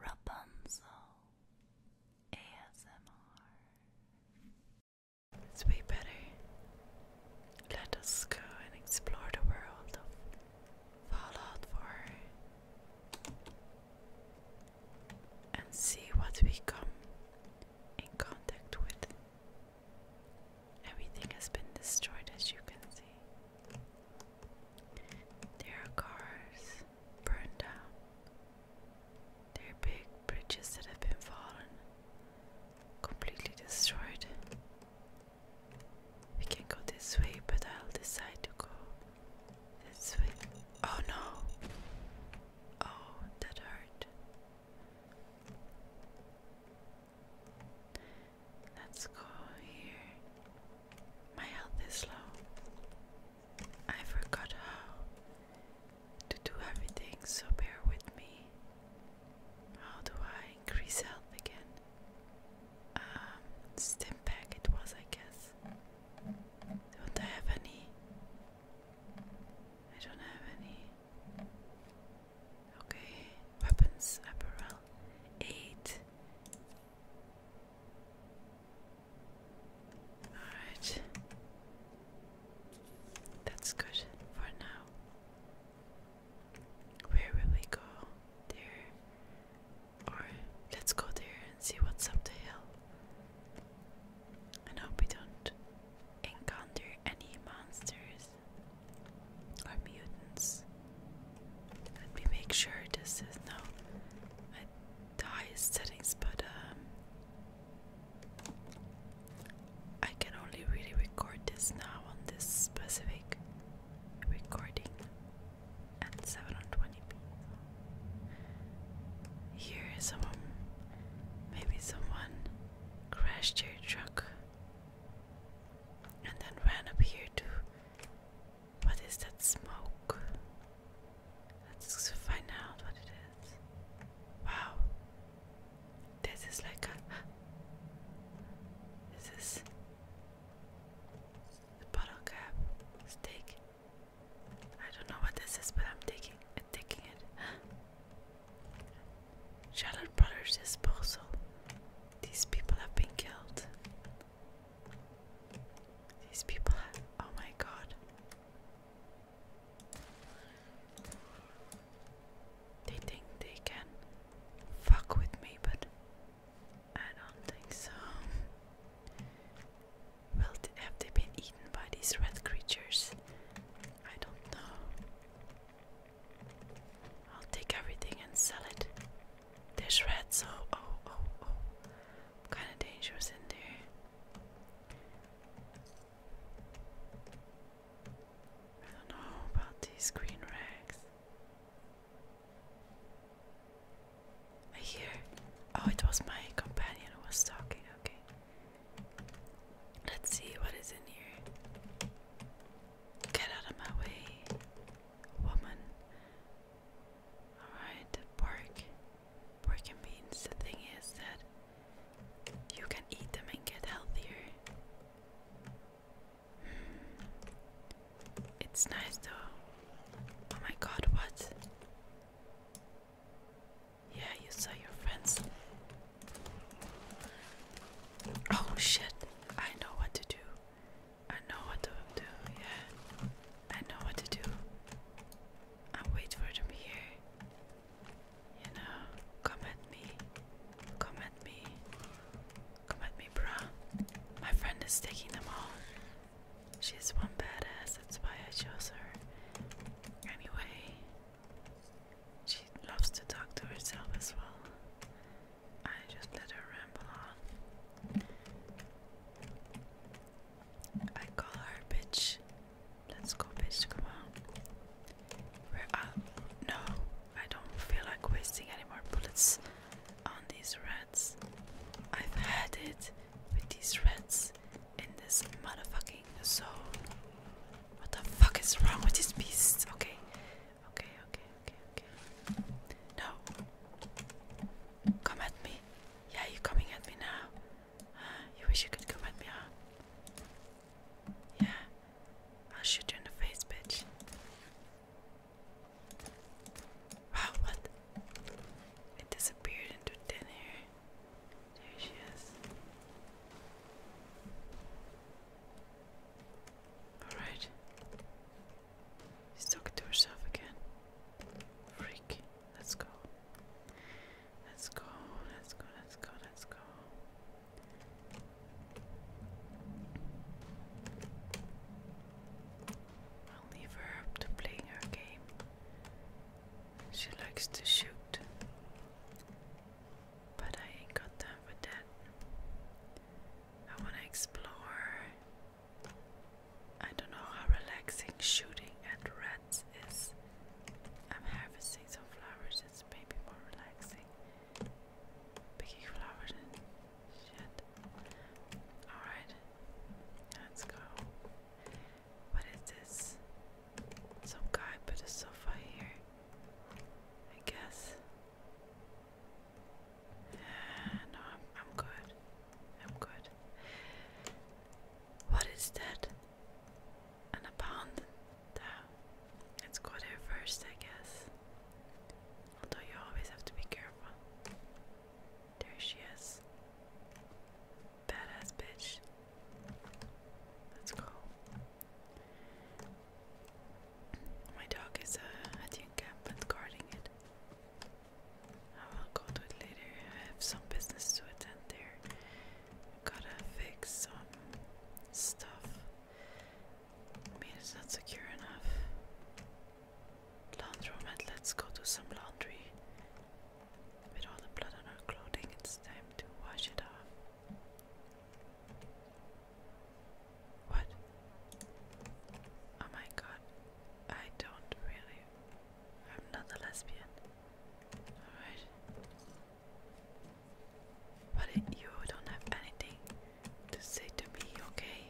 Rapunzel ASMR. It's better. Let us go and explore the world Fallout 4 and see what we come in contact with. Everything has been destroyed, as you can see. Their cars burned down. Their big bridges that have been fallen completely destroyed. We can go this way, but I'll decide to go this way. Oh no! Oh, that hurt. Let's go here. My health is low. I forgot how to do everything, so bear with me. How do I increase health again? Um, stim pack it was, I guess. Don't I have any? I don't have any. Okay, weapons apparel. Eight. Alright. That's good for now. Where will we go? There. Or let's go there and see what's up the hill. And hope we don't encounter any monsters or mutants. Let me make sure this is no highest settings, but um, I can only really record this now on this specific recording at 720p. Here is someone, maybe someone crashed your truck and then ran up here too. What is that smoke? Let's find out what it is. Wow. This is like a. This is. bottle cap. Steak. I don't know what this is, but I'm taking, taking it. Shalom Brothers disposal. These people have been killed. These people have, oh my god. They think they can fuck with me, but I don't think so. Well, have they been eaten by these red creatures? I don't know. I'll take everything and sell it. There's rats. Oh, oh, oh, oh. Kind of dangerous in there. I don't know about these green rags. I hear. Oh, it was my companion who was talking. Okay. Let's see what is in here. Get out of my way, woman. Alright, pork. Pork and beans. The thing is that you can eat them and get healthier. Hmm. It's nice though. Oh my god, what? Yeah, you saw your friends. Oh shit, I know what to do. I know what to do, yeah. I know what to do. I wait for them here. You know, come at me. Come at me. Come at me, bruh. My friend is taking them all. She's one badass, that's why I chose her. Anyway, she loves to talk to herself as well. I just let her ramble on. I call her bitch. Let's go, bitch. Come on. No, I don't feel like wasting any more bullets on these rats. I've had it with these rats in this motherfucking zone. What the fuck is wrong with these beasts? Okay, Okay, okay, okay, okay. No. Come at me. Yeah, you coming at me now. you wish you could come at me, huh? Yeah. I'll shoot you in the face, bitch. Wow, what? It disappeared into thin air. There she is. Alright. She's talking to herself again. Freak. Let's go. Let's go. Let's go. Let's go. Let's go. I'll leave her up to playing her game. She likes to shoot. But I ain't got time for that. I want to explore. I don't know how relaxing shooting at rats is. I'm harvesting some flowers, it's maybe more relaxing. Picking flowers and shit. Alright, let's go. What is this? Some guy put a sofa here. I guess. No, I'm, good. I'm good. What is that? An abandon? Let's go there first, I guess. Although you always have to be careful. There she is. Badass bitch. Let's go. My dog is at uh, the uh, camp, encampment guarding it. I will go to it later. I have some business to attend there. Gotta fix some stuff. I mean, it's not secure enough. Laundry Laundromat, let's go do some laundry. With all the blood on our clothing, it's time to wash it off. What? Oh my god. I don't really. I'm not a lesbian. Alright. But you don't have anything to say to me, okay?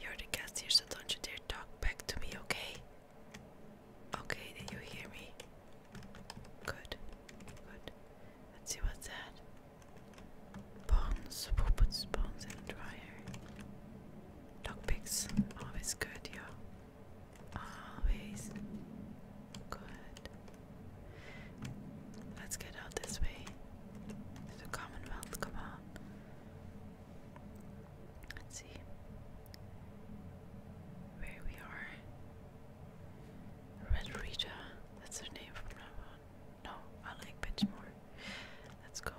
You're the guest here, so don't you dare talk back to me, okay? Okay, did you hear me? Good, good. Let's see what's that. Bones, we'll in the dryer. Dog picks, always good, yo. Always good. Let's get out this way. To the Commonwealth, come on. Let's see where we are. Red Rita, that's her name from now No, I like bitch Let's go.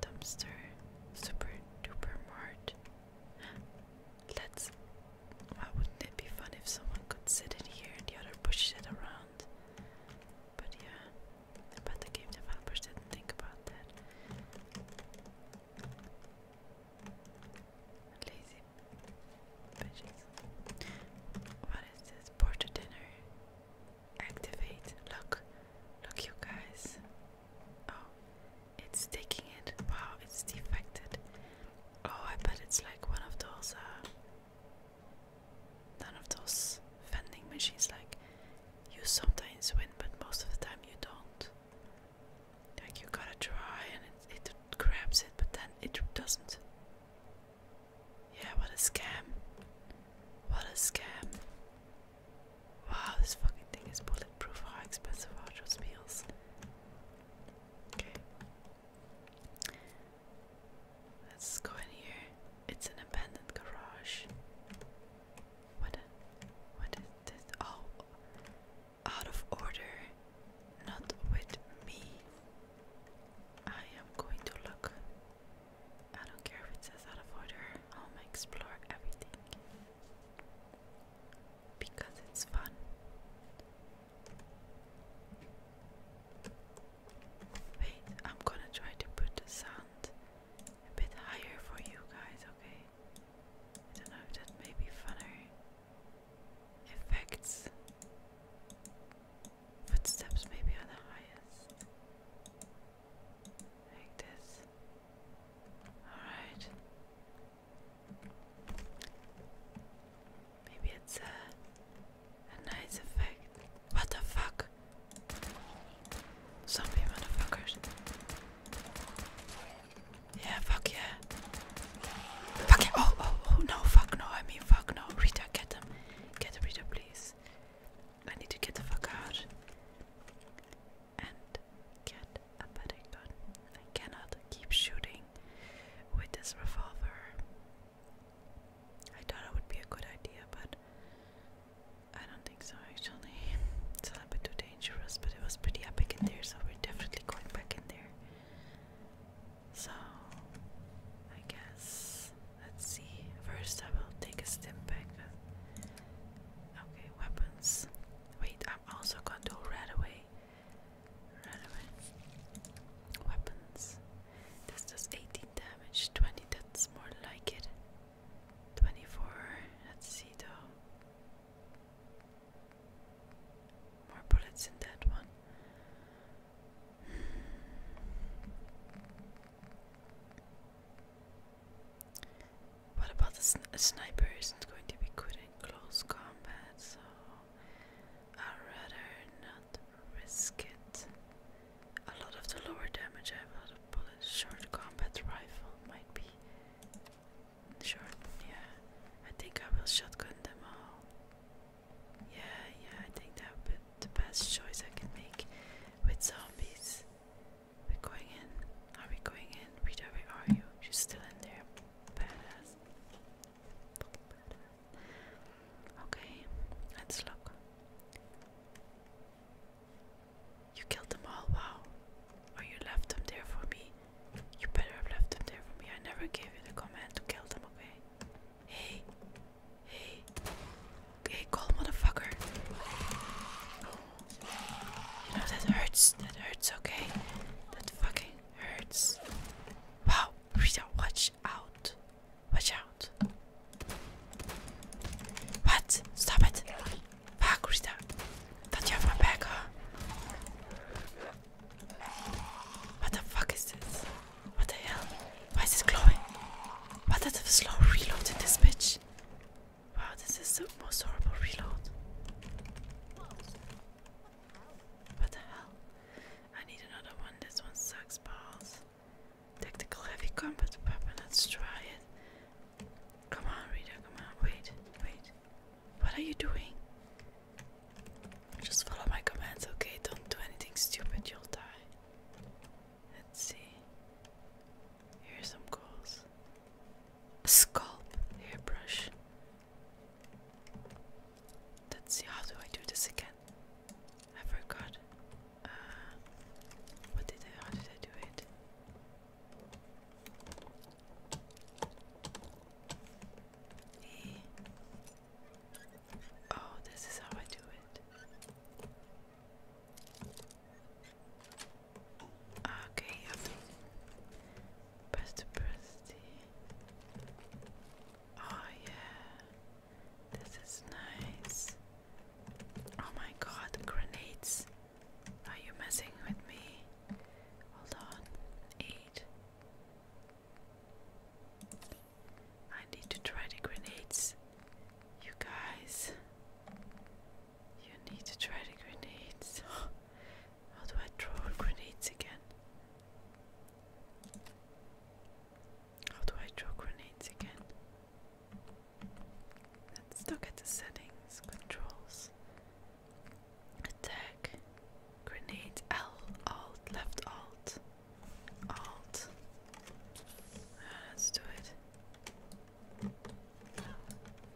Dumpster, super duper mart. Let's. Why wouldn't it be fun if someone could sit in here and the other pushes it around? But yeah, but the game developers didn't think about that. Lazy bitches. What is this? Porter dinner. Activate. Look. Look, you guys. Oh, it's taking it. Wow, it's defected. Oh, I bet it's like one of those, uh, none of those vending machines, like you sometimes win, but most of the time you don't. Like you gotta try and it, grabs it, but then it doesn't. Yeah, what a scam. What a scam. Wow, this fucking thing is bulletproof. How expensive are those meals? Okay. Let's go in here. It's an abandoned garage. What? What is this? Oh, out of order. Not with me. I am going to look. I don't care if it says out of order. I'll explore everything because it's fun. Wait, I'm gonna try to put the sound a bit higher for you guys, okay? I don't know that may be funner. Effects. Footsteps maybe are the highest. Like this. Alright. Maybe it's a, a nice effect. What the fuck? Zombie motherfuckers. Yeah, fuck yeah. Fuck yeah. Oh, oh, oh, no, fuck no. I mean, fuck no. Rita, get them. Get Rita, please. I need to get the fuck out. And get a better gun. I cannot keep shooting with this revolver. I thought it would be a good idea, but I don't think so actually. It's a little bit too dangerous, but it was pretty epic in there, so we're definitely going back in there. So, I guess, let's see. First, I will take a step back. Okay, weapons. Wait, I'm also going to right away. Right away. Weapons. This does 18 damage, 20, that's more like it. 24 at Cedo. More bullets in that one. What about the sniper? is going to be good in close combat, so I'd rather not risk it. A lot of the lower damage I have out of bullets. Short combat rifle might be short. Yeah, I think I will shotgun them all. Yeah, yeah, I think that would be the best choice I can make with zombies. We're going in. Are we going in? Rita, where are you? She's still in there. Badass. Badass. Okay, let's look. You killed them all, wow. Or you left them there for me. You better have left them there for me. I never gave you the command to kill them, okay? Hey, hey, hey, cold motherfucker. You know, that hurts. That hurts, okay? That fucking hurts. Wow, Rita, watch out. Watch out. What? Stop it. Fuck, Rita. you have my back, What the fuck is this? What the hell? Why is this glowing? What is the slow reload in this bitch? Wow, this is the most horrible reload. What the hell? I need another one. This one sucks balls. Tactical heavy combat weapon, let's try it. Come on, reader, come on. Wait, wait. What are you doing? Just follow my commands, okay? Don't do anything stupid, you'll die. Let's see. Here's some goals. scalp, hairbrush. Let's see, how do I do this again? I forgot what did I? How did I do it? E. Oh, this is how I do it. Okay, you press the press the. Oh yeah. This is nice. Oh my god, grenades. Are you messing with me? Hold on. Eight. I need to try the grenades. You guys. You need to try the grenades. How do I throw grenades again? How do I throw grenades again? Let's look at the settings, controls, attack, grenade, L, alt, left, alt, alt. Ah, let's do it.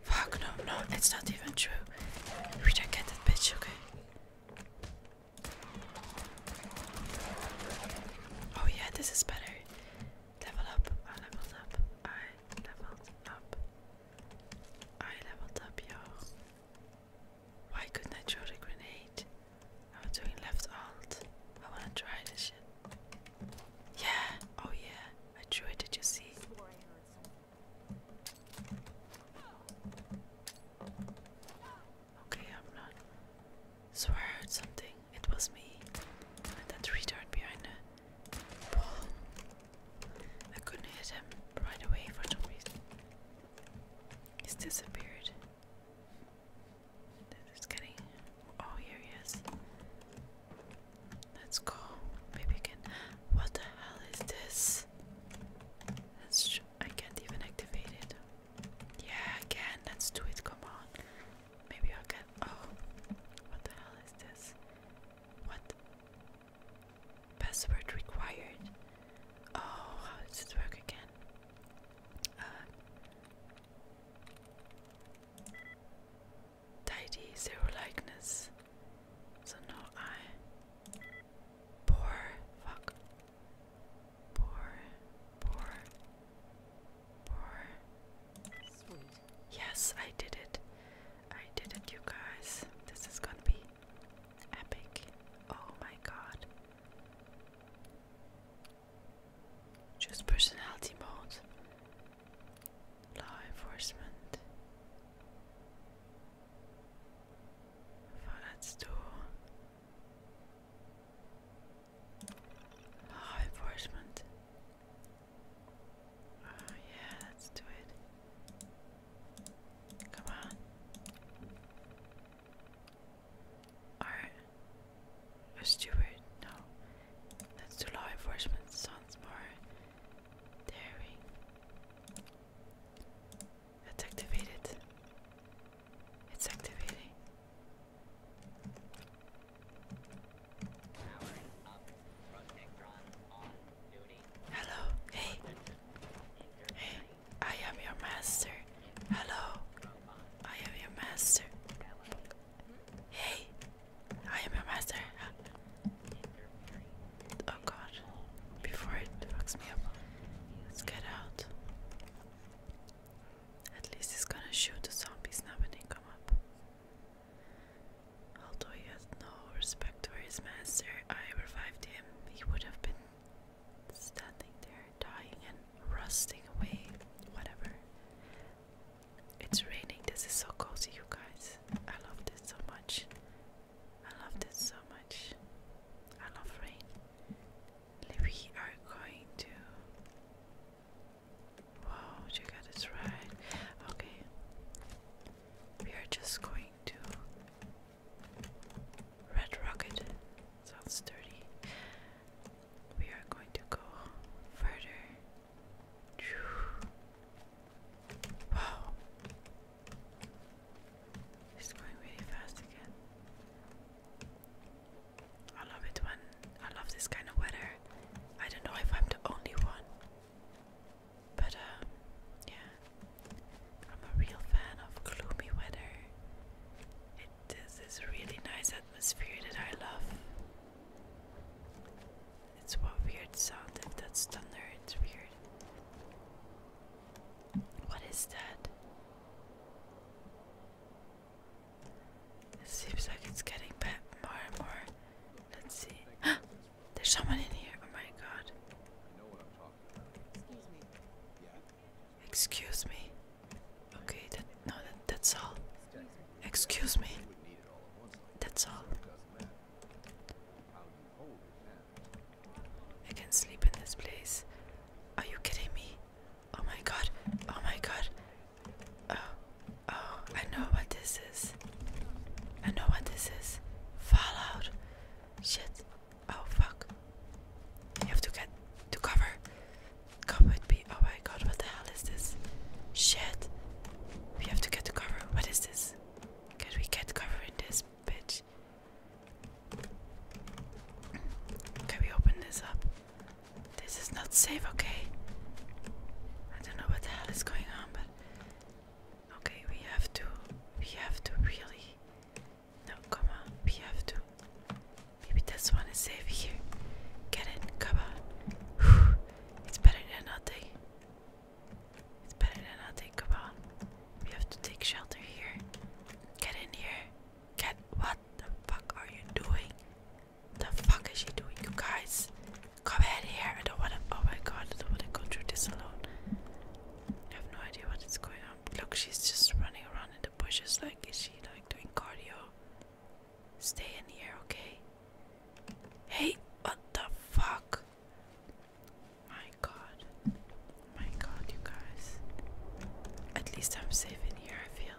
Fuck no, no, it's not even true. We don't get that bitch, okay? Oh yeah, this is better. Level up, I leveled up, I leveled up. I leveled up, yo. Why couldn't I throw the grenade? I was doing left alt. I wanna try this shit. Yeah, oh yeah, I threw it, did you see? Okay, I'm not. So I heard something. It was me. And that retard behind the wall. I couldn't hit him right away for some reason. He's disappeared. It's getting. Oh, here he is. Let's go. Maybe I What the hell is this? I can't even activate it. Yeah, I Let's do it. Come on. Maybe i Oh, what the hell is this? What? Password required. Oh, how does it work again? Uh, tidy zero likeness. So no eye. Poor fuck. Pour, pour, pour. Sweet. Yes, I did it. I did it, you guys. This is gonna be epic. Oh my god. Choose personality mode. Law enforcement. Let's do Law enforcement. Oh, yeah, let's do it. Come on. Alright. A No. Let's do law enforcement. Sounds more daring. Let's It's activating. Hello, hey, hey, I am your master. Hello, I am your master. Hey, I am your master. Oh god, before it fucks me up, let's get out. At least he's gonna shoot the zombies now when they come up. Although he has no respect for his master, I revived him. He would have been standing there, dying and rusting away. Whatever. It's raining. This is so cozy, you guys. I love this so much. I love this so much. I love rain we are going to. Wow, you got it right. Okay, we are just going to Red Rocket. Sounds dirty. We are going to go further. Wow, it's going really fast again. I love it when I love this kind of weather. I don't know if I'm the only one, but um, yeah, I'm a real fan of gloomy weather. It It is this really nice atmosphere that I love. It's what weird sound if that's thunder, it's weird. What is that? It seems like it's getting bad more and more. Let's see. There's someone in here. Oh my god. Excuse me. Excuse me. Okay, that no that, that's all. Excuse me. That's all. I can sleep in this place. Are you kidding me? Oh my god. Oh my god. Oh. Oh, I know what this is. I know what this is. Fallout. Shit. Oh fuck. You have to get to cover. Come with me. Oh my god, what the hell is this? Shit. We have to get to cover. What is this? Can we get cover in this bitch? Can we open this up? This is not safe, okay? I don't know what the hell is going on, but okay, we have to, we have to really. No, come on, we have to. Maybe this one is safe here. Get it, come on. It's better than nothing. It's better than nothing, come on. We have to take shelter here. Get in here. Cat, what the fuck are you doing? The fuck is she doing, you guys? Come in here. I don't wanna. Oh my god, I don't wanna go through this alone. I have no idea what is going on. Look, she's just running around in the bushes. Like, is she like doing cardio? Stay in here, okay? Hey, what the fuck? My god my god, you guys. At least I'm safe in here, I feel.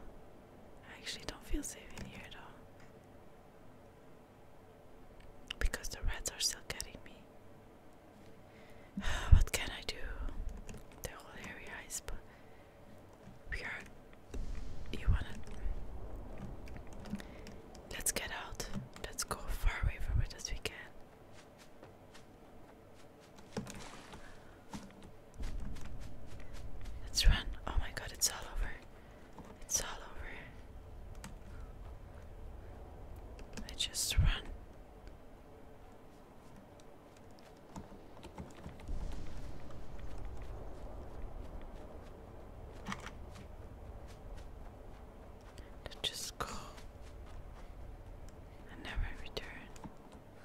I actually don't feel safe in here at all. Because the rats are still getting me. what can I do? The whole area is. We are. You wanna. Let's get out. Let's go far away from it as we can. Let's run. Oh my god, it's all over. It's all over. I just run. Just go and never return.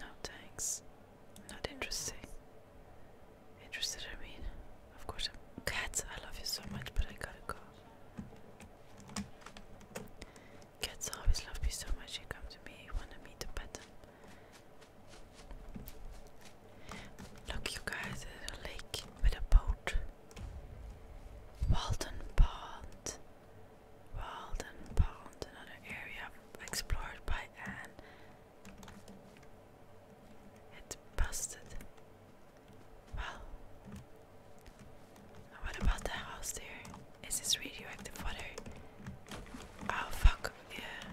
No thanks. Not interesting. Interested, I mean. Of course, I'm. Cats, I love you so much, but I gotta go. Cats always love you so much. You come to me, you wanna meet the pet. Look, you guys, there's a lake with a boat. Walden Pond. Walden Pond, another area explored by Anne. It busted. Well, what about the house there? Is this radioactive water? Oh fuck, yeah.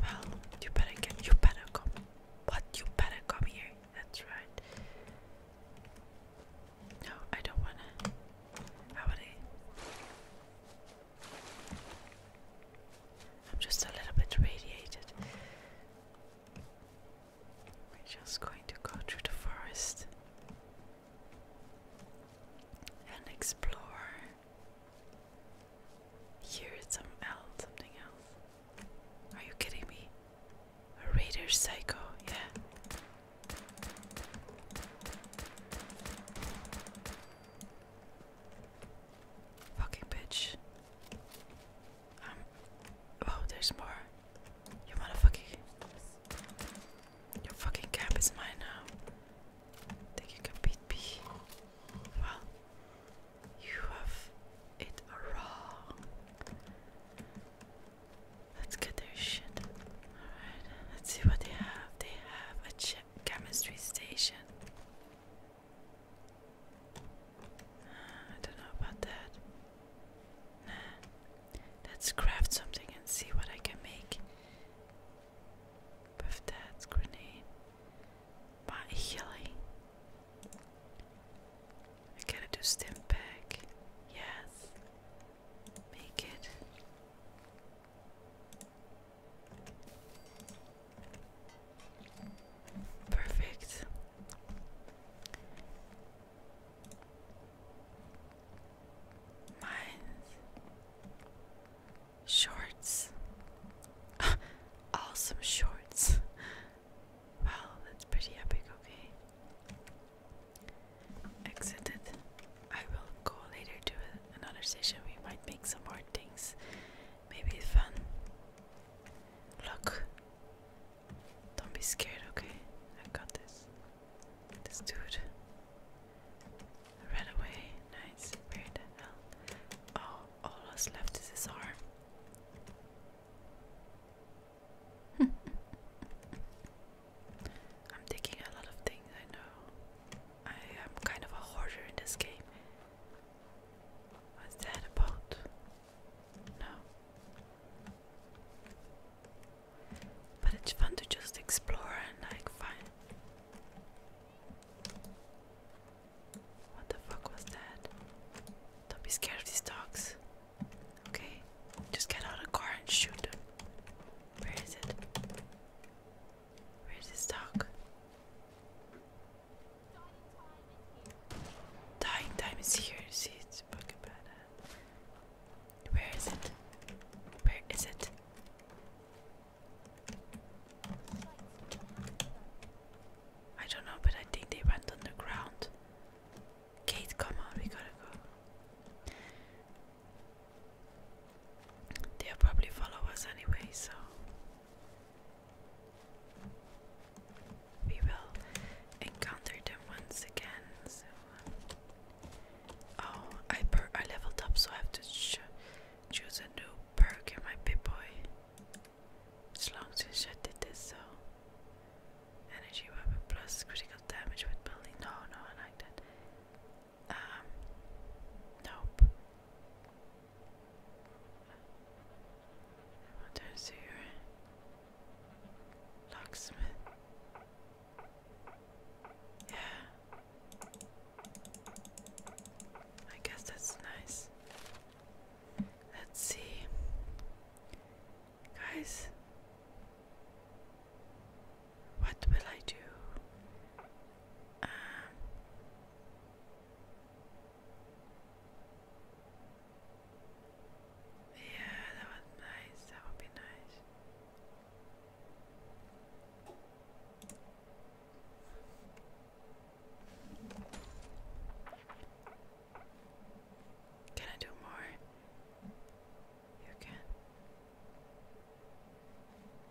Well, you better get, you better come. What? You better come here. That's right. No, I don't wanna. How would I? I'm just a little bit radiated. We're just going to go through the forest and explore. Here it's else, something else. Are you kidding me? A raider psycho, yeah. Fucking bitch. Um, oh, there's more. You motherfucking. Your fucking cap is mine now. Think you can beat me? Well, you have it wrong. Let's get their shit. Alright, let's see what they have. They have a ch chemistry station. Uh, I don't know about that. Nah. Let's craft something and see what I can make. Buff that grenade. By healing. I gotta do stim pack. Yes make it perfect. Mine shorts. awesome shorts. Wow, that's pretty epic, okay. Exited. I will go later to another station. We might make some more things. Maybe fun. Look. Don't be scared, okay? I got this. This dude. Ran away. Nice. Where the hell? Oh, all that's left is his arm. I'm taking a lot of things, I know. I am kind of a hoarder in this game. What's that about? No. But it's fun to just explore and like find. What the fuck was that? Don't be scared of these dogs. Okay, just get out of the car and shoot Where is it? Where is this dog? Dying time is here. See, it's fucking bad. Where is it? Where is it? I don't know, but I think they went on Kate, come on, we gotta go. They'll probably follow us anyway, so we will encounter them once again. Uh, oh, I per I leveled up, so I have to choose a new perk in my Pip-Boy. It's long since I did this, so Energy weapon plus critical damage with building. No, no, I like that. Um, nope. What turns to your locksmith? Yeah. I guess that's nice. Let's see. Guys, what will I do? Um, yeah, that would nice. That would be nice. Can I do more? You can.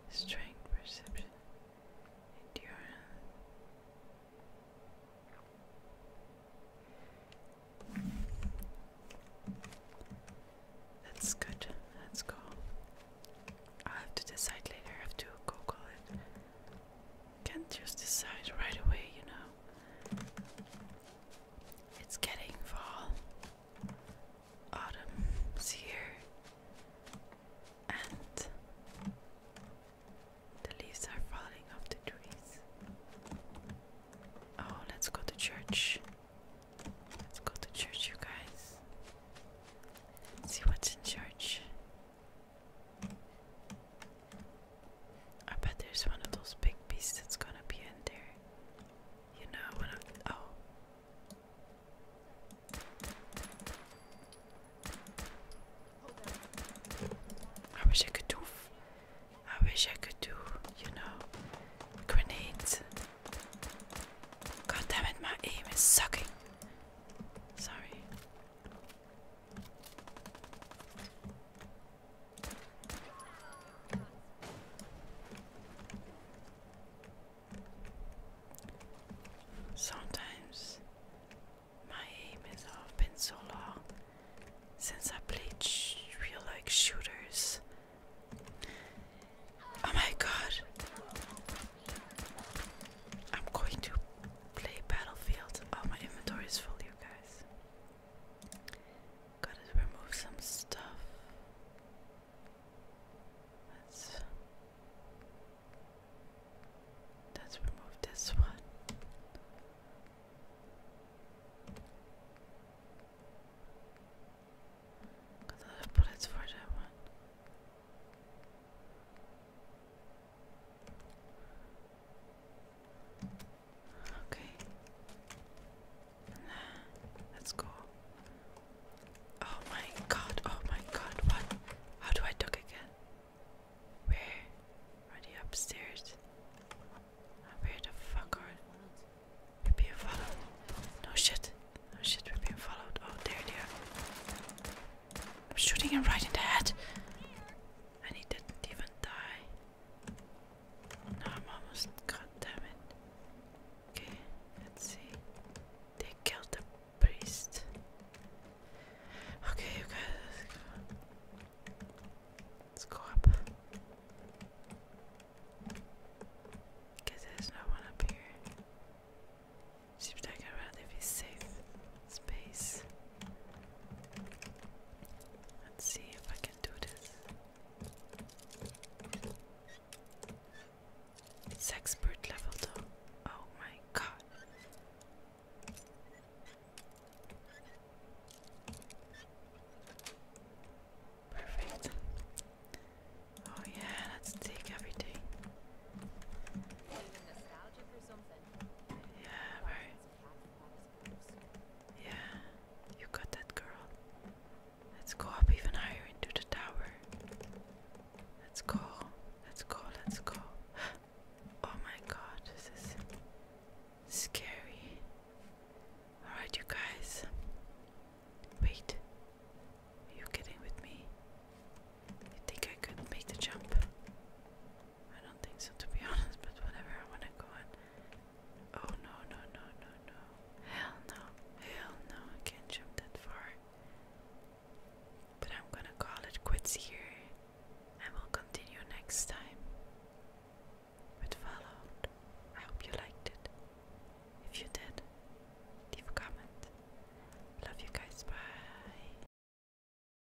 Strength, perception, endurance. That's good. Let's go. i have to decide later. I have to Google it. Can't just decide right away, you know. It's getting fall. Autumn's here. And the leaves are falling off the trees. Oh, let's go to church. Let's go to church, you guys. see what's in church. I bet there's one of those big beasts that's gonna be in there. You know, one of oh. I wish I could do. I wish I could do. You know, grenades. God damn it, my aim is sucking. Sorry. Sometimes my aim is off been so long since I played real like shooters. Oh my god. I'm going to play Battlefield. Oh my inventory is full you guys. Gotta remove some stuff. Let's let's remove this one. Got a lot of for that one. Okay. Let's go. Oh my god, oh my god, what? How do I duck again? Where? Are they upstairs? Where the fuck are they? We're being followed. No shit. No shit, we're being followed. Oh, there they are. I'm shooting him right in the head. And he didn't even die. No, I'm almost. God damn it. Okay, let's see. They killed the priest. Okay, you guys, let's go up. Cause there's no one up here. Seems like a relatively safe space. Let's see if I can can do this. It's expert level though. Oh my god. Perfect. Oh yeah, let's take everything. Yeah, right. Yeah, you got that girl. Let's go up even higher into the tower. Let's go. Let's go. Let's go. Oh my god, this is scary. Alright, you guys. Wait. Are you kidding with me? You think I could make the jump? I don't think so to be honest, but whatever, I wanna go on. Oh no, no, no, no, no. Hell no, hell no, I can't jump that far. But I'm gonna call it quits here. and we will continue next time with Fallout. I hope you liked it. If you did, leave a comment. Love you guys, bye.